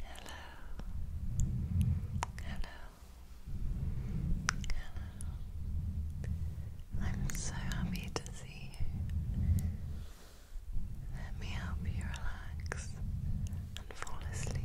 Hello. Hello. Hello. I'm so happy to see you. Let me help you relax and fall asleep.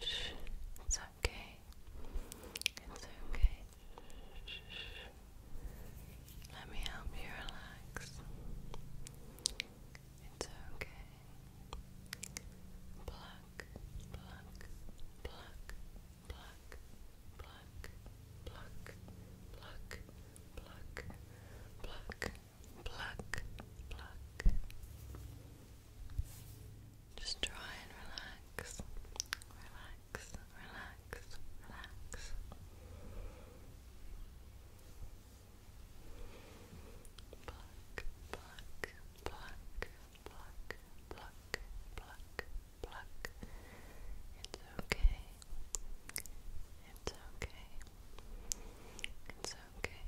It's okay. It's okay. Let me help you relax. It's okay. Pluck, pluck, pluck, pluck, pluck, pluck, pluck, pluck, pluck, pluck, pluck. Just try and relax, relax, relax, relax. Pluck, pluck, pluck, pluck, pluck, pluck, pluck. It's okay. It's okay. It's okay.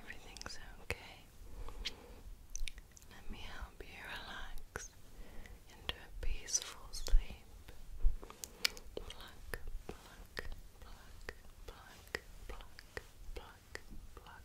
Everything's okay. Let me help you relax into a peaceful sleep. Pluck, pluck, pluck, pluck, pluck, pluck, pluck.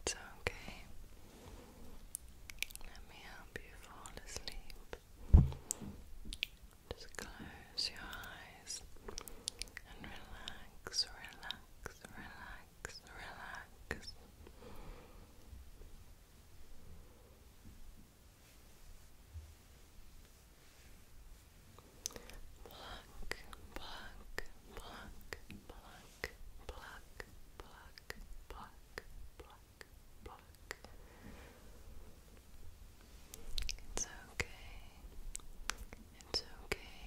It's okay. Let me help you fall asleep. Just close your eyes and relax, relax, relax, relax. Pluck, pluck, pluck, pluck, pluck, pluck, pluck, pluck, pluck. It's okay. It's okay.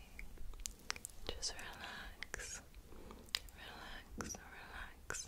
Just relax. Relax, relax, relax.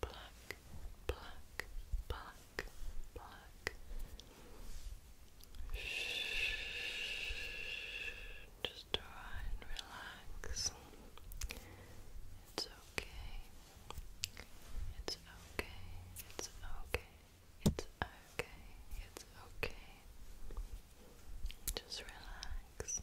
black, black, black, black. Shh. Just try and relax. It's okay. It's okay. It's okay. It's okay. It's okay. Just relax.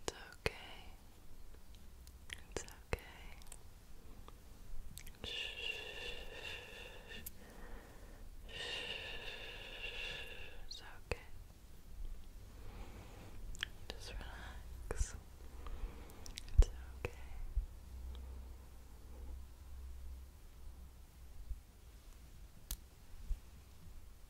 It's okay. It's okay. Shh. It's okay. Just relax. It's okay.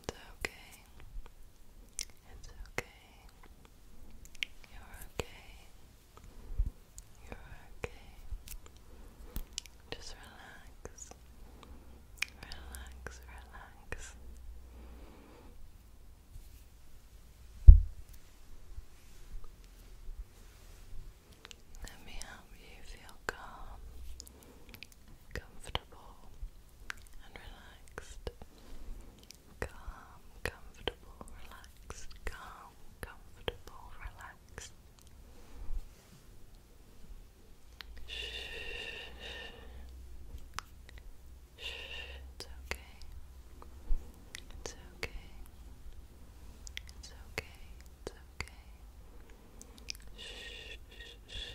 It's okay. It's okay. You're okay. You're okay. Just relax. Relax, relax. Let me help you feel calm, comfortable, and relaxed. Calm, comfortable, relaxed. Calm, comfortable, relaxed. Shh. It's okay. It's okay. It's okay. It's okay. Shh.